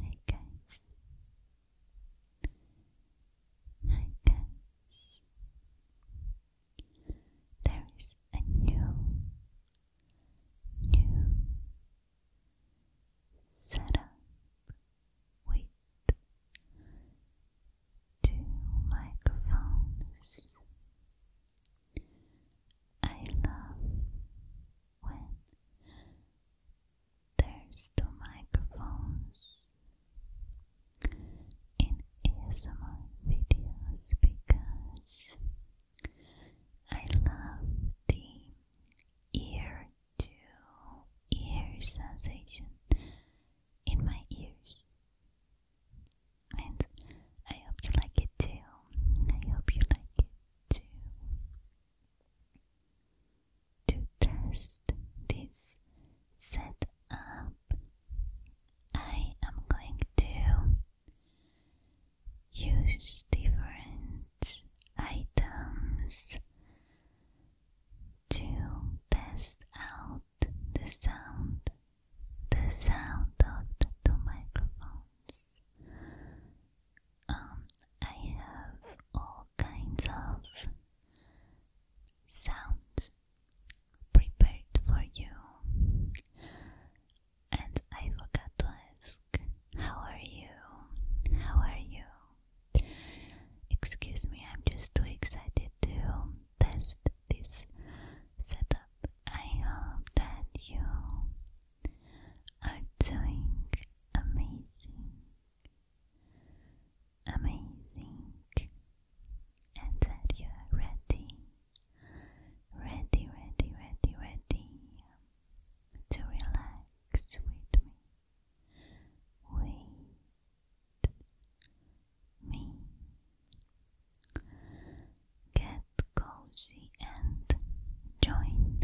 Hi guys. Hi guys. There is a new new setup with two microphones. I love when there's two microphones in ASMR videos because I love the ear to ear sensation in my ears. And I hope you like it too. I hope you like it too. To test this setup, I am going to use different items to test out the sound, the sound of the two microphones. Um, I have all kinds of sounds prepared for you. And I forgot to ask, how are you? How are you? Excuse me, I'm just too excited to test this setup. I hope that you are doing amazing, amazing, and that you are ready, ready, ready, ready, ready to relax with me. With me. Get cozy and join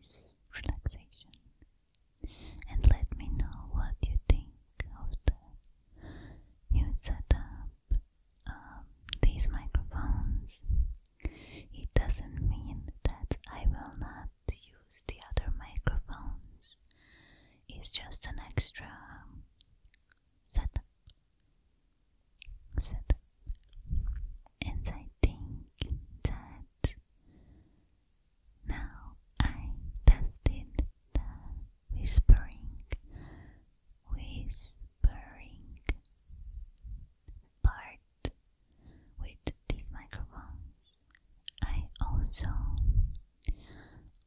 this relaxation. And let me know what you think of the new setup. Um, these microphones. It doesn't mean that I will not use the other microphones. It's just an extra setup. Setup and I think that now I tested the whispering, whispering part with these microphones. I also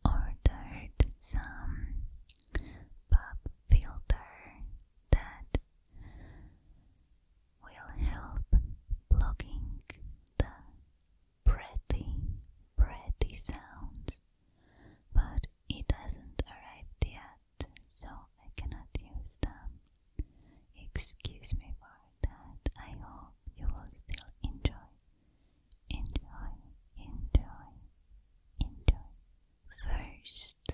ordered some pop filter that will help blocking the pretty, pretty sounds, but it hasn't arrived yet, so I cannot use them. Excuse me for that. I hope you will still enjoy, enjoy, enjoy, enjoy. First,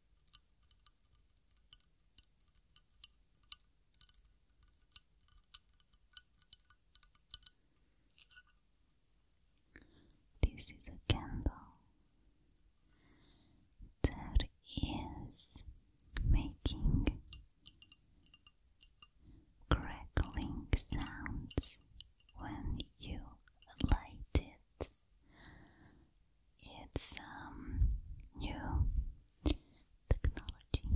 This is a candle that is making crackling sounds when you light it it's um, new technology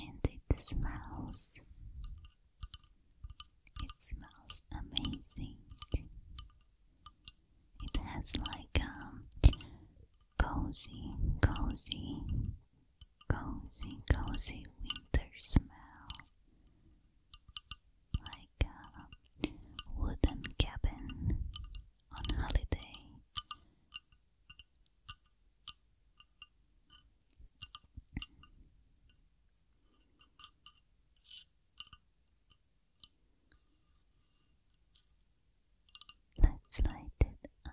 and it smells it smells amazing it has like a um, cozy cozy cozy cozy winter smell like a um, wooden cabin on holiday. Let's light it up.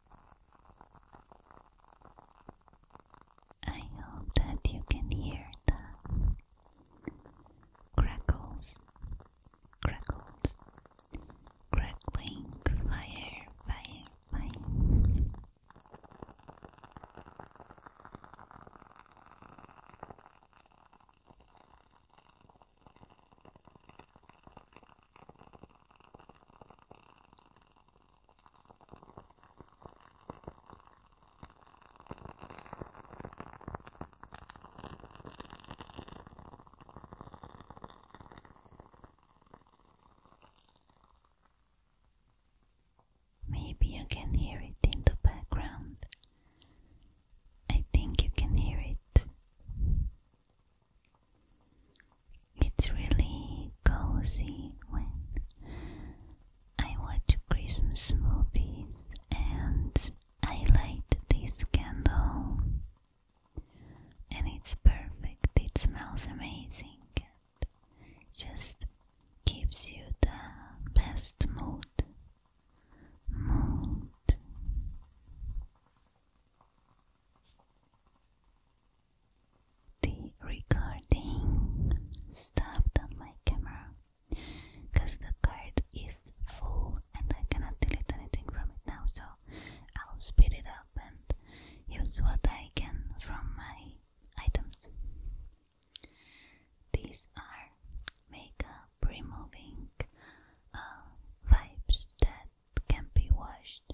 I hope that you can hear the crackles, crackles, crackling fire, fire, fire. Maybe you can hear it in the background. I think you can hear it. It's really cozy when I watch Christmas movies and I light this candle, and it's perfect. It smells amazing and just gives you the best mood. Mood. The recording stopped on my camera because the card is full and I cannot delete anything from it now, so I'll speed it up and use what I can from my items. These are makeup removing uh, that can be washed.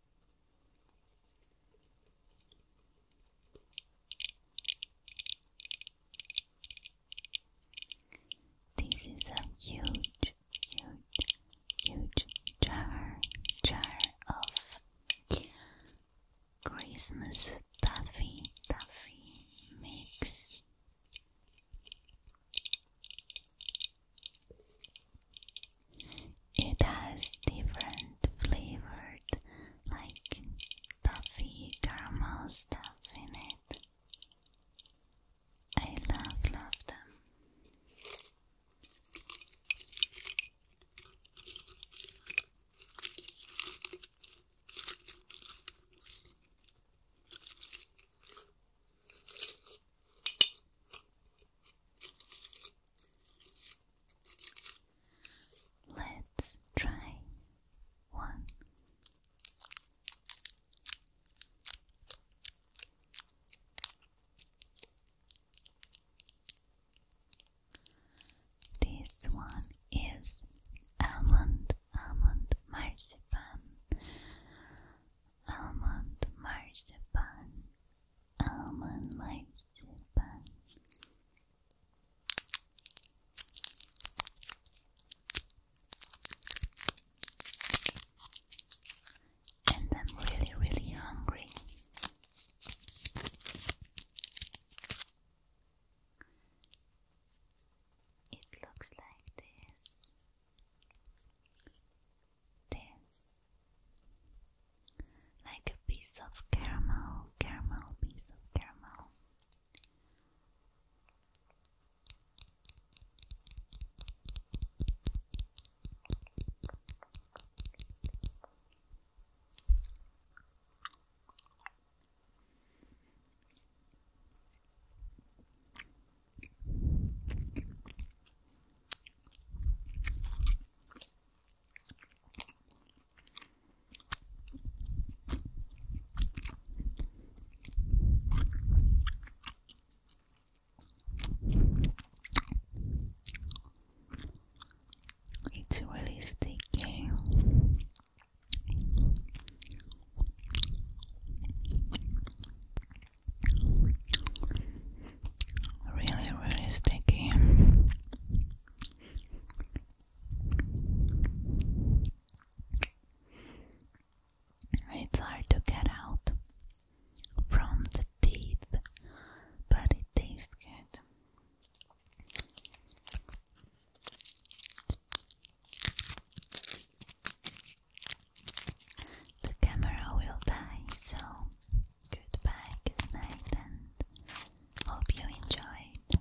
This is a huge, huge, huge jar, jar of Christmas taffy, taffy mix. It has different flavors, like toffee, caramel stuff in it. I love, love them. Let's try one. This one is almond, almond marzipan almond marzipan, almond marzipan. And I'm really, really hungry. It looks like this this like a piece of caramel, caramel, piece of caramel. It's really sticky. Really, really sticky. It's hard to get out from the teeth, but it tastes good. The camera will die, so goodbye, good night, and hope you enjoyed.